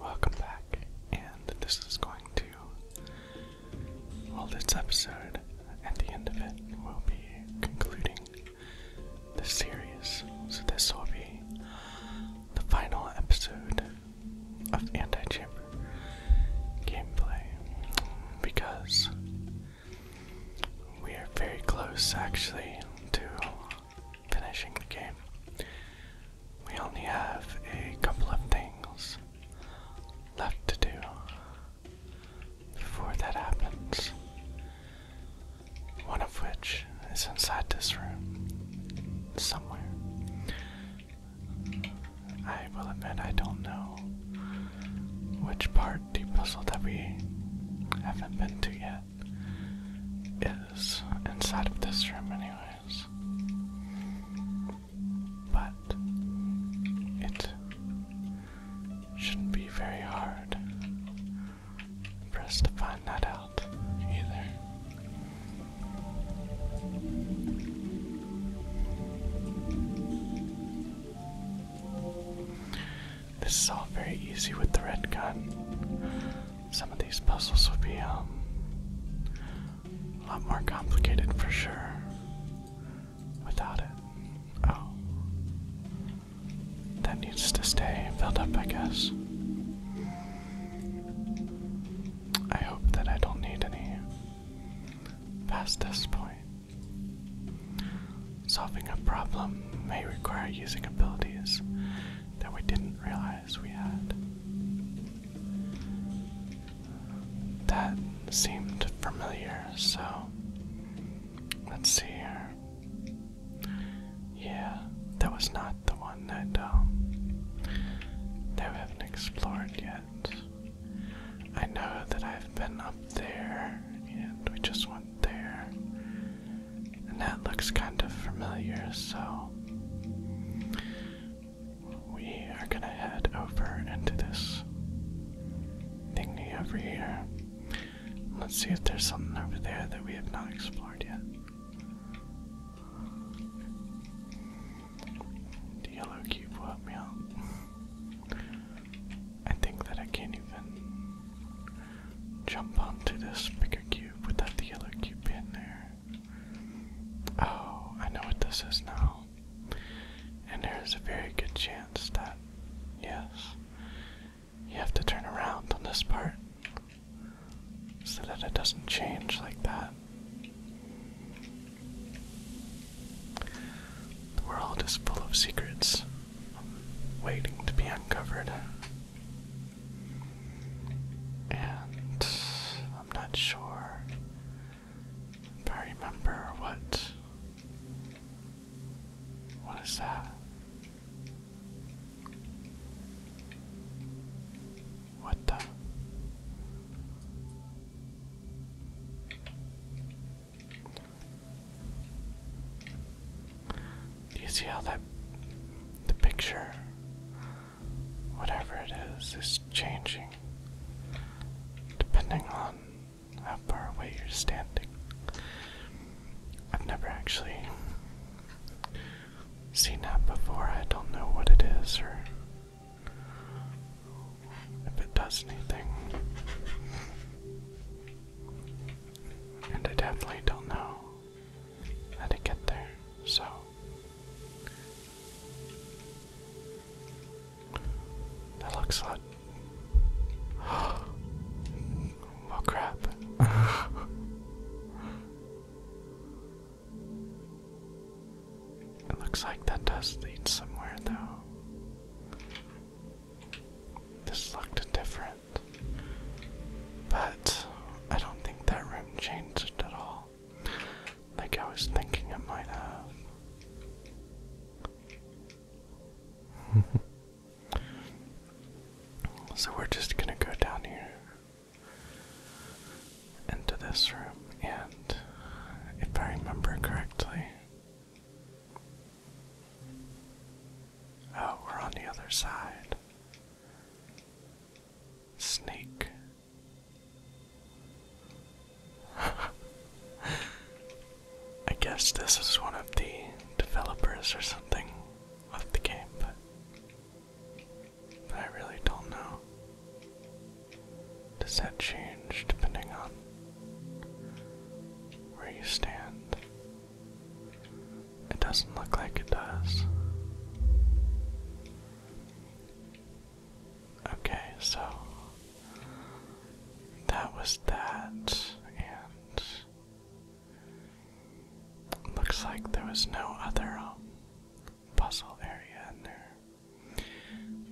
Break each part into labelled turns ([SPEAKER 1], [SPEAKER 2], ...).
[SPEAKER 1] Welcome back, and this is going to. Well, this episode, at the end of it, will be concluding the series. So, this will be the final episode of Anti Chamber gameplay because we are very close actually to finishing the game. We only have a couple of things left to do before that happens. One of which is inside this room, somewhere. I will admit I don't know which part the puzzle that we haven't been to yet is inside of this room, anyway. But it shouldn't be very hard for us to find that out either. This is all very easy with the red gun some of these puzzles would be um, a lot more complicated for sure without it. Oh. That needs to stay filled up, I guess. I hope that I don't need any past this point. Solving a problem may require using abilities that we didn't realize we had. That seemed familiar, so let's see here. Yeah, that was not the one that um, that we haven't explored yet. I know that I've been up there, and we just went there. And that looks kind of familiar, so we are gonna head over into this thingy over here. Let's see if there's something over there that we have not explored yet. The yellow cube will me out. I think that I can't even jump onto this bigger cube with that yellow cube in there. Oh, I know what this is now. And there's a very good chance that, yes, you have to turn around on this part so that it doesn't change like that. The world is full of secrets waiting to be uncovered. And I'm not sure if I remember what. What is that? What the? Do you see how that the picture, whatever it is, is changing depending on how far away you're standing? I've never actually seen that before. I don't know what it is or if it does anything. And I definitely don't know how to get there. So that looks like well oh, crap. it looks like that does lead somewhere though. This looked different. But I don't think that room changed at all. Like I was thinking it might have. so we're just gonna go down here into this room, and if I remember correctly. Oh, we're on the other side. Snake. I guess this is one of the developers or something of the game, but I really don't know. Does that change depending on where you stand? It doesn't look like it does. Okay, so that was that, and looks like there was no other um, puzzle area in there.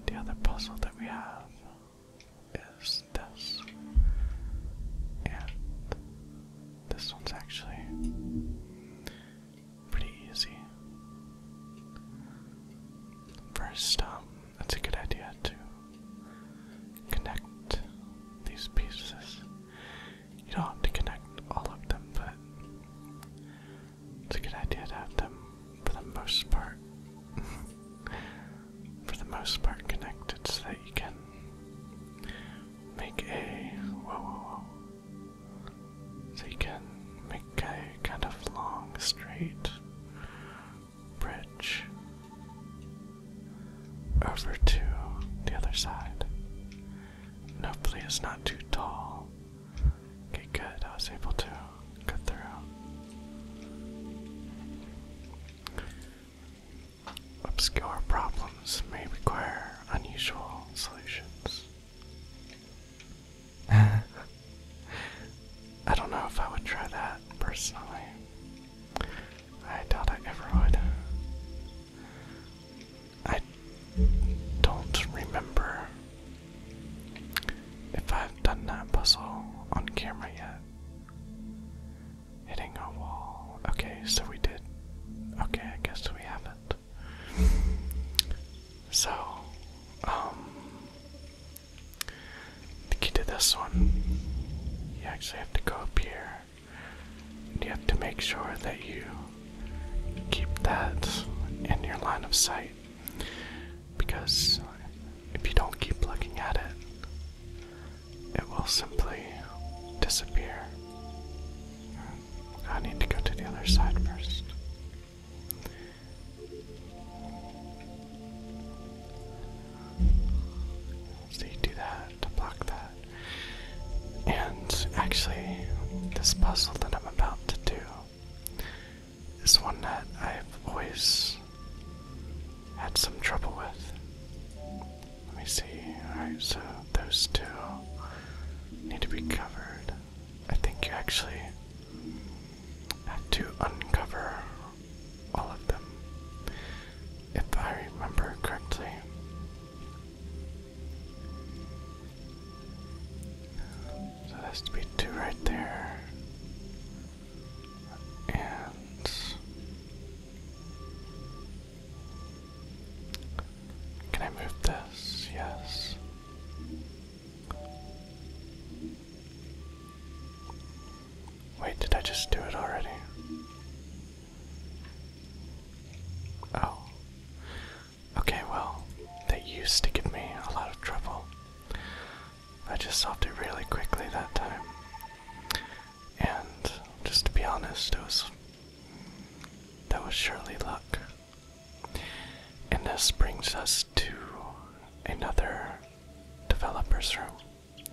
[SPEAKER 1] The other puzzle that we have is this, and this one's actually pretty easy. First, it's um, a good idea to connect these pieces. You don't have to connect all of them, but it's a good idea to have them for the most part. for the most part connected so that you can make a whoa So you can make a kind of long straight bridge over to the other side. hopefully it's not too tall. Okay, good. I was able to get through. Obscure problems may require unusual solutions. I don't know if I would try that personally. I doubt I ever would. I don't remember if I've done that puzzle on camera yet. Hitting a wall. Okay, so we did. Okay, I guess we haven't. So, um, the key to this one, you actually have to go up here. you have to make sure that you keep that in your line of sight. Because if you don't keep looking at it, it will simply disappear. I need to go to the other side first. So you do that to block that. And actually, this puzzle that I'm about to do is one that I've always had some trouble with. Let me see. Alright, so those two need to be covered. I think you actually had to uncover all of them, if I remember correctly. So that has to be two right there can I move this? Yes. Wait, did I just do it already? Oh. Okay, well, that used to give me a lot of trouble. I just solved it really quickly that time. And just to be honest, it was that was surely luck. And this brings us to another developer's room,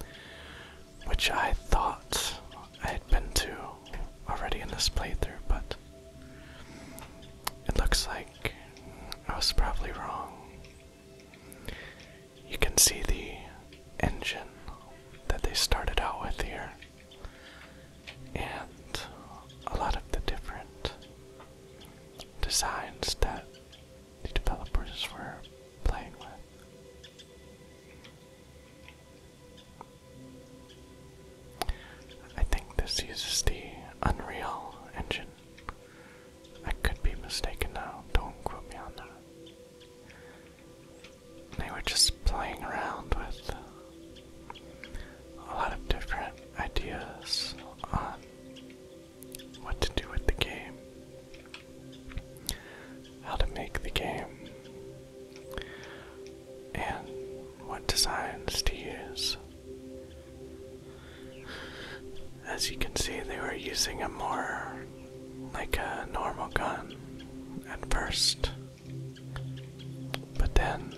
[SPEAKER 1] which I thought I had been to already in this playthrough, but it looks like I was probably wrong. You can see the engine that they started out with here, and a lot of the different designs that the developers were playing with. I think this uses the Unreal Engine I could be mistaken now, don't quote me on that. They were just playing around with a lot of different ideas on what to do with the game, how to make the game, and what designs to use. As you can see, they were using a more like a normal gun at first. But then,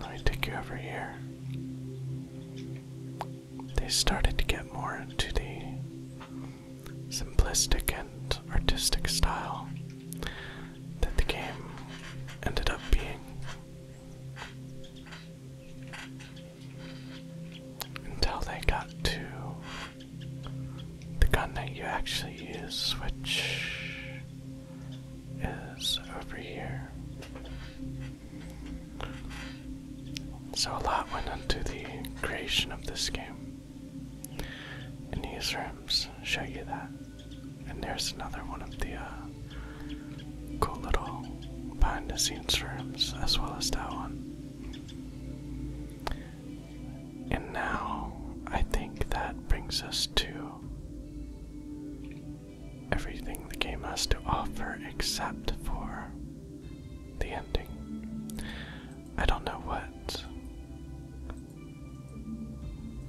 [SPEAKER 1] let me take you over here. They started to get more into the simplistic and artistic style that the game ended up being until they got to the gun that you actually use, which is over here. So, a lot went into the creation of this game. And these rooms show you that. And there's another one of the uh, cool little behind the scenes rooms, as well as that one. And now I think that brings us to everything the game has to offer except for the ending. I don't know what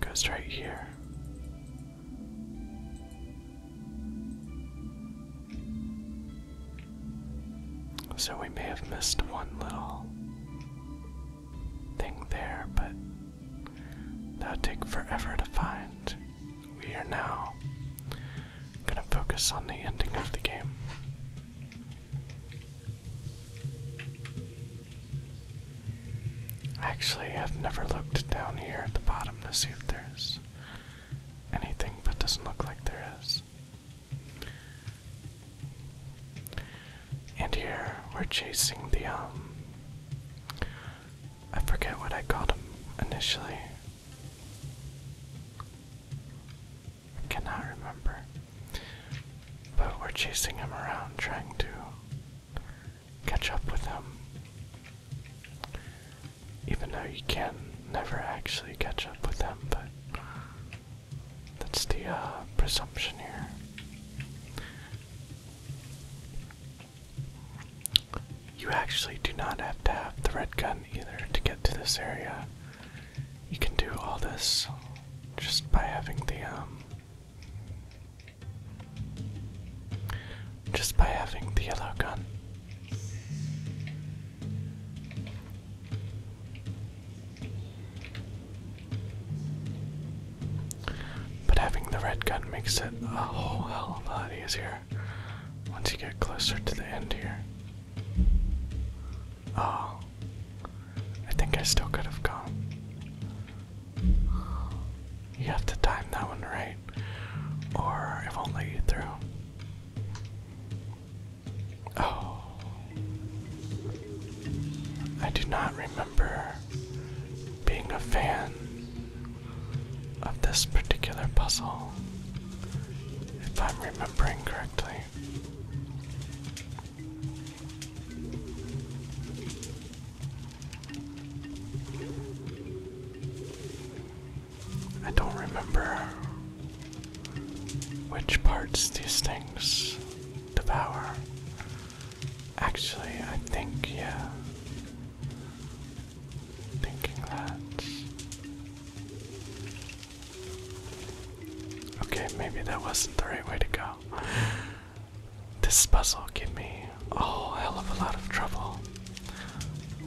[SPEAKER 1] goes right here. So we may have missed one little thing there, but that'd take forever to find. We are now gonna focus on the ending of the game. Actually, I've never looked down here at the bottom to see if there's anything, but doesn't look like there is. And here we're chasing the, um, I forget what I called him initially. cannot remember. But we're chasing him around, trying to catch up with him. Even though you can never actually catch up with them, but that's the uh, presumption here. You actually do not have to have the red gun either to get to this area. You can do all this just by having the, um. Just by having the yellow gun. But having the red gun makes it a whole hell of a lot easier once you get closer to the end here. Oh, I think I still could have gone. You have to time that one right, or it won't let you through. Oh. I do not remember being a fan of this particular puzzle, if I'm remembering correctly. I don't remember which parts these things devour. Actually, I think, yeah. Thinking that. Okay, maybe that wasn't the right way to go. This puzzle gave me a oh, hell of a lot of trouble.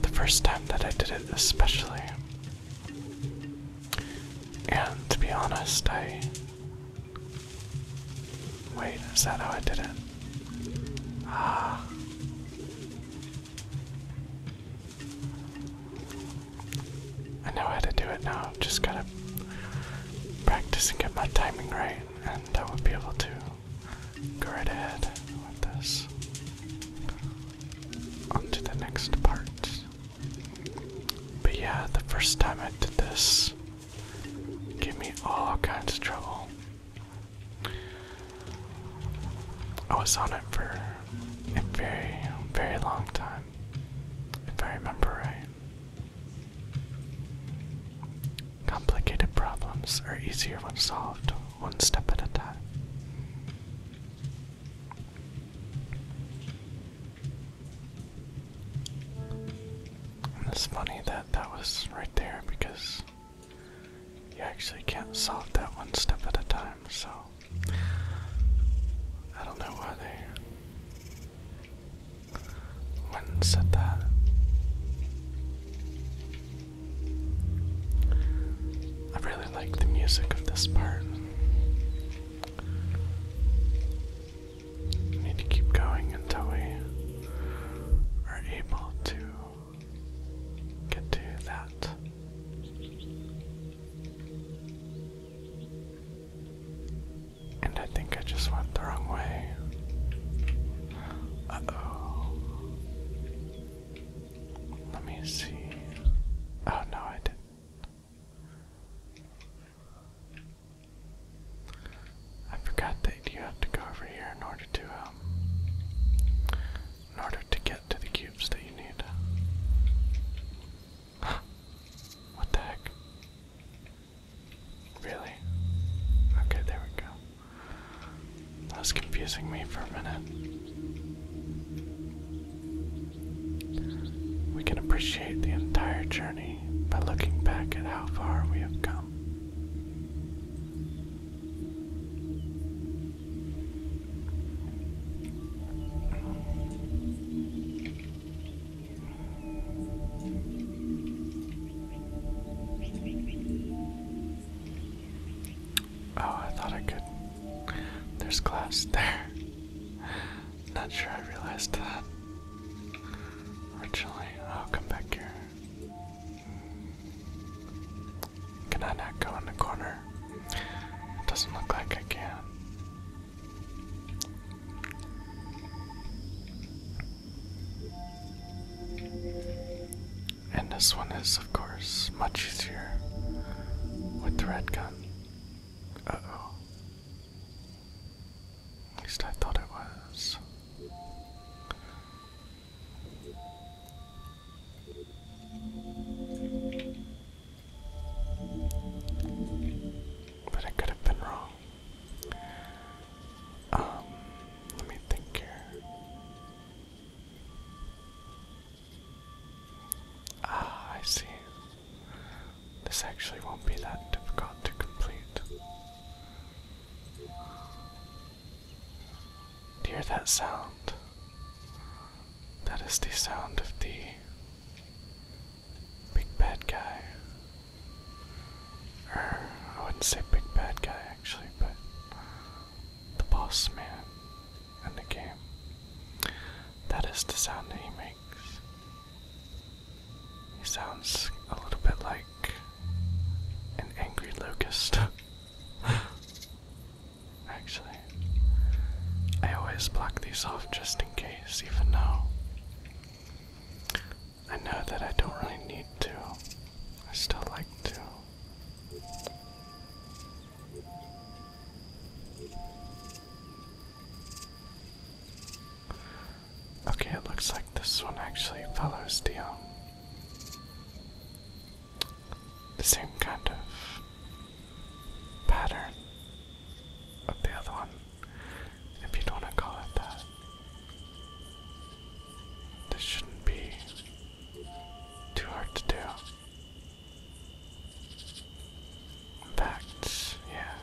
[SPEAKER 1] The first time that I did it, especially. And to be honest, I. Wait, is that how I did it? Ah. I know how to do it now, just gotta practice and get my timing right, and I will be able to go ahead with this. On to the next part. But yeah, the first time I did this gave me all kinds of trouble. I was on it for a very, very long time, if I remember right. Complicated problems are easier when solved one step at a time. it's funny that that was right there because you actually can't solve that one step at a time, so I don't know why they said that. I really like the music of this part. I need to keep going until we are able to get to that. And I think I just went the wrong way. Uh-oh. Let me see. Oh no, I did I forgot that you have to go over here in order to um in order to get to the cubes that you need. what the heck? Really? Okay, there we go. That was confusing me for a minute. We can appreciate the entire journey by looking back at how far we have come. Oh, I thought I could. There's glass there. Not sure I realized that. Originally, I'll come back here. Can I not go in the corner? It doesn't look like I can. And this one is, of course, much easier with the red gun. Uh oh. At least I thought it was. But I could have been wrong. Um, let me think here. Ah, I see. This actually won't be that difficult to complete. hear that sound? That is the sound of the big bad guy I wouldn't say big bad guy actually, but the boss man in the game. That is the sound that he makes. He sounds a little bit like an angry locust. Actually, I always block these off just in case, even now. I know that I don't really need to. I still like to. Okay, it looks like this one actually follows the um, same kind of pattern of the other one, if you don't want to call it that. This shouldn't be too hard to do. In fact, yeah.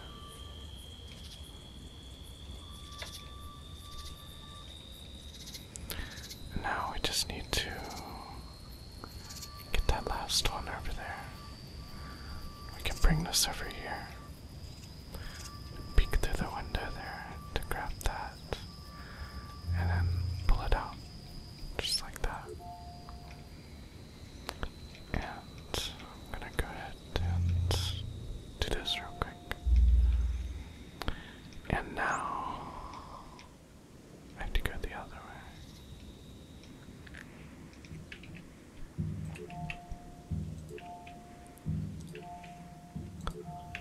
[SPEAKER 1] now we just need to get that last one over there. We can bring this over here peek through the window there to grab that and then pull it out just like that. And I'm gonna go ahead and do this real quick. And now I have to go the other way.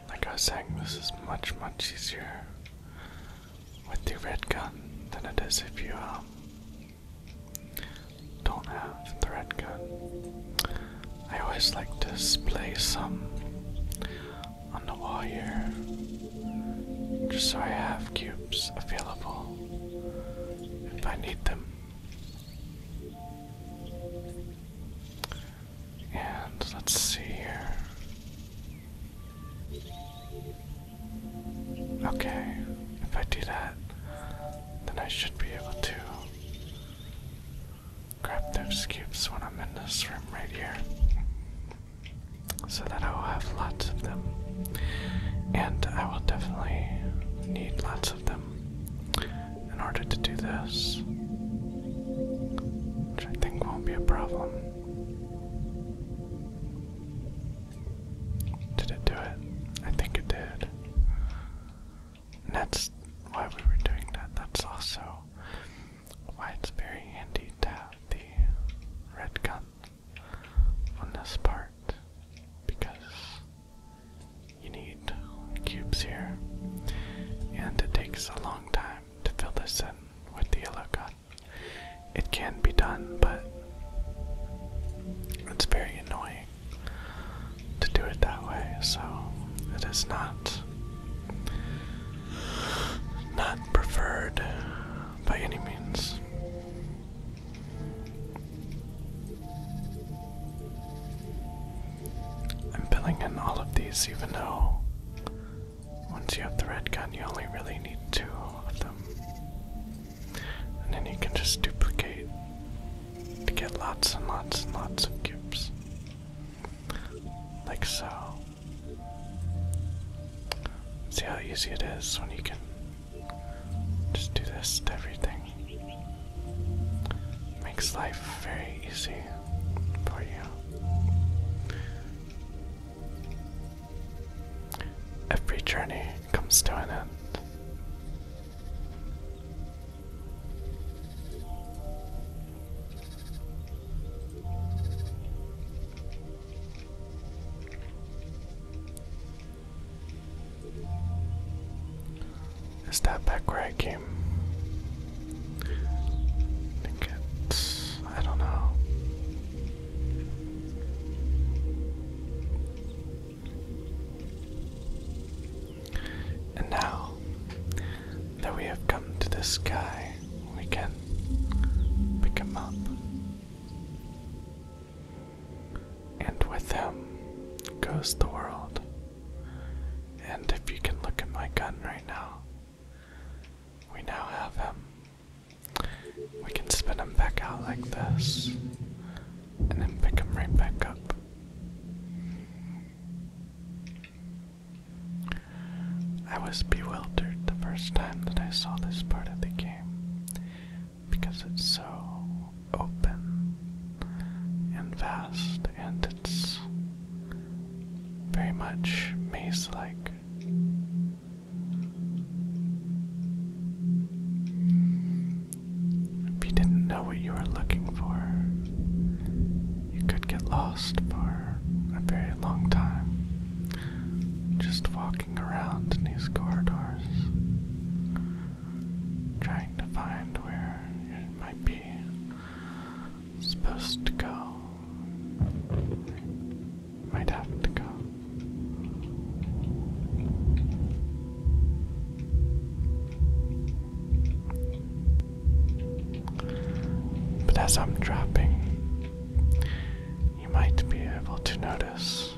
[SPEAKER 1] Like I was saying, this is much, much easier with the red gun than it is if you um, don't have the red gun. I always like to display some on the wall here, just so I have cubes available if I need them. And let's see here. Okay, if I do that, then I should be able to grab those cubes when I'm in this room right here. So that I will have lots of them. And I will definitely need lots of them in order to do this, which I think won't be a problem. Did it do it? I think it did. that's why we were doing that. That's also why it's very handy to have the red gun on this part because you need cubes here. And it takes a long time to fill this in with the yellow cut. It can be done, but it's very annoying to do it that way, so it is not not preferred by any means. I'm filling in all of these even though once you have the red gun you only really need two of them. And then you can just duplicate to get lots and lots and lots of cubes. Like so. See how easy it is when you can just do this to everything. Makes life very easy for you. Every journey comes to an end. Is that back where I came? I don't know. And now that we have come to the sky, we can pick him up. And with him goes the world. And if you can look at my gun right now, we now have him. We can spin him back out like this, and then pick him right back up. I was bewildered the first time that I saw this part of the game because it's so open and vast and it's very much maze like. If you didn't know what you were looking for, you could get lost for a very long time just walking around in these corridors trying to find where it might be supposed to go. Might have to go. But as I'm dropping, you might be able to notice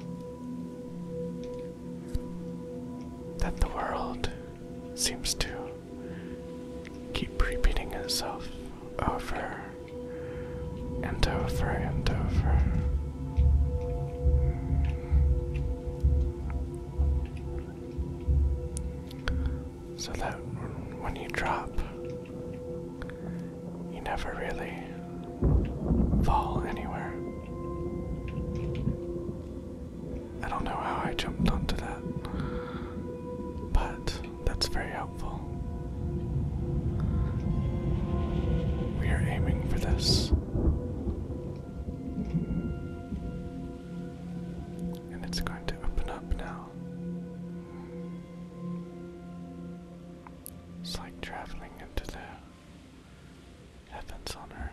[SPEAKER 1] that the world seems to keep repeating itself over and over and over. So that when you drop, you never really fall anywhere. I don't know how I jumped onto that, but that's very helpful. We are aiming for this. And it's going to open up now. It's like traveling into the heavens on earth.